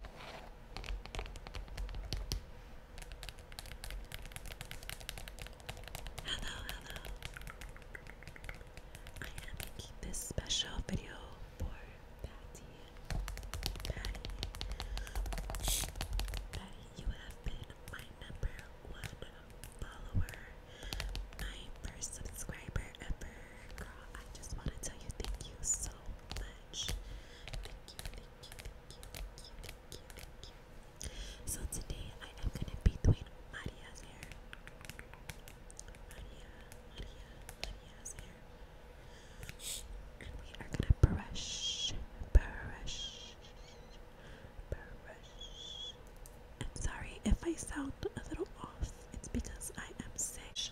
Hello, hello. I am making this special video for Patty. Patty. you have been my number one follower, my first subscriber ever. I just want to tell you thank you so much. Thank you, So today I am gonna be doing Maria's hair. Maria, Maria, Maria's hair. And we are gonna brush, brush, brush. I'm sorry if I sound a little off. It's because I am sick.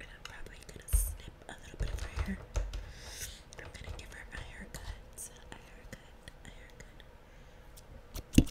And I'm probably gonna snip a little bit of her hair. I'm gonna give her a haircut. A haircut. A haircut. Okay.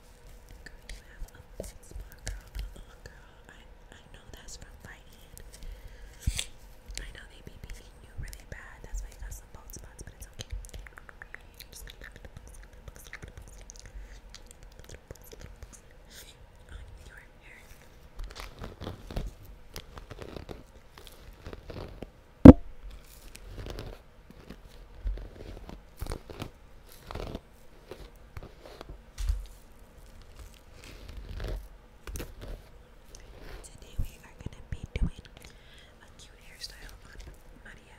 Girl, you girl. Uh girl, I, I know that's from fighting. I know they be beating you really bad. That's why you got some bald but it's okay. I'm just Today we are going to be doing a cute hairstyle on Maria.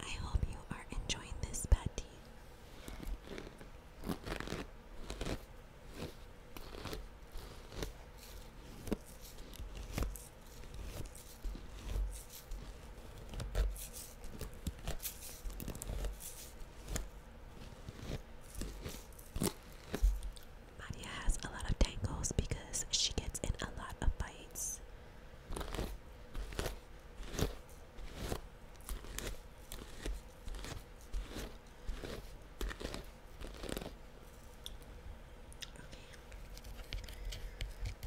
I hope you are enjoying this patty. Maria has a lot of tangles because she gets in a lot of bites. Okay,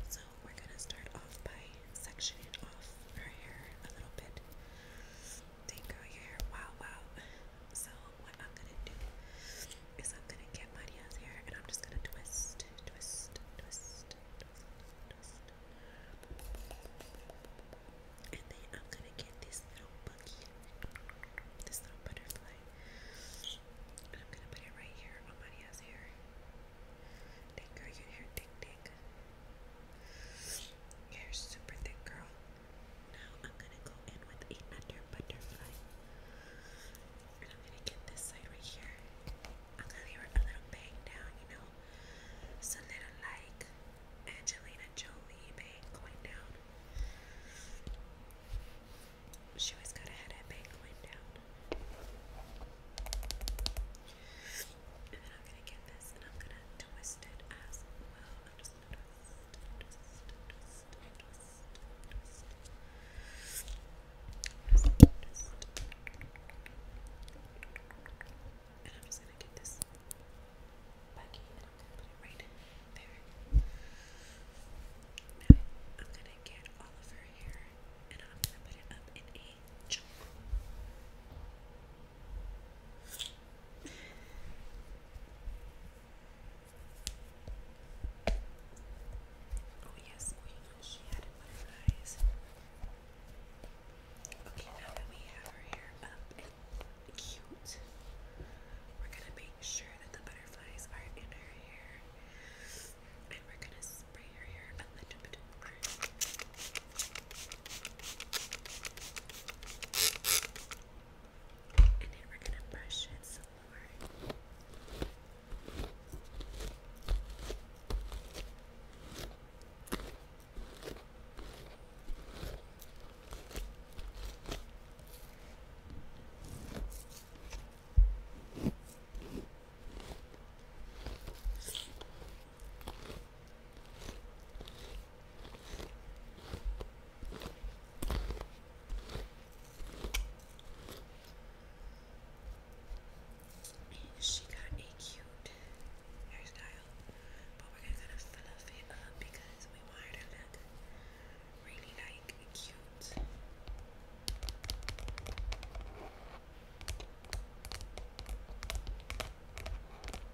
so we're going to start off by sectioning off her hair a little bit. Dang girl, your hair, wow, wow. So what I'm going to do is I'm gonna get Maria's hair and I'm just gonna twist, twist, twist, twist, twist. And then I'm gonna get this little buggy, this little butterfly. And I'm gonna put it right here on Maria's hair. Thick girl, your hair thick, thick. Your hair's super thick, girl. Now I'm gonna go in with another butterfly. And I'm gonna get this side right here. I'm gonna leave her a little bang down, you know? So little like Angelina Jolie bang going down. She always got a head bang going down. And then I'm gonna get this and I'm gonna twist it as well. And I'm just going to get this I'm going to put it right there. I'm going to get all of her hair and I'm going to put it up in a chunk. Oh yes, we she had it Okay, now that we have her hair up and cute, we're gonna make sure that the butterflies are in her hair. And we're gonna spray her hair a little bit and then we're gonna brush it some she got a cute hairstyle, but we're gonna kind of fluff it up because we want her to look really like cute. Now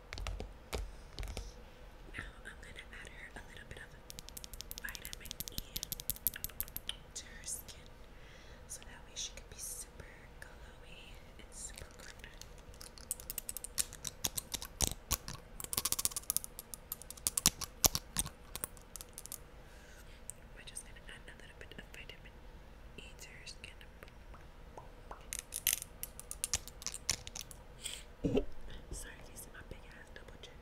I'm gonna add her a little bit of vitamin E to her skin so that way she can be super glowy and super green. we just gonna add a bit of vitamin E to her skin. Sorry, you see my big ass double chin.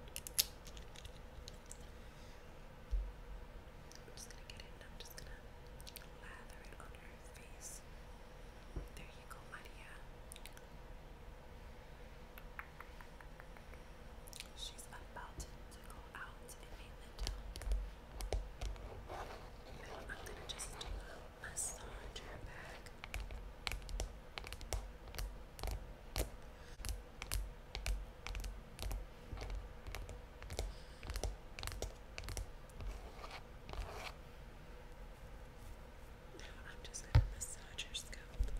I'm just gonna get it I'm just gonna lather it on her face. There you go, Maria. She's about to go out in mainland And I'm gonna just massage her I'm just going to massage her scalp.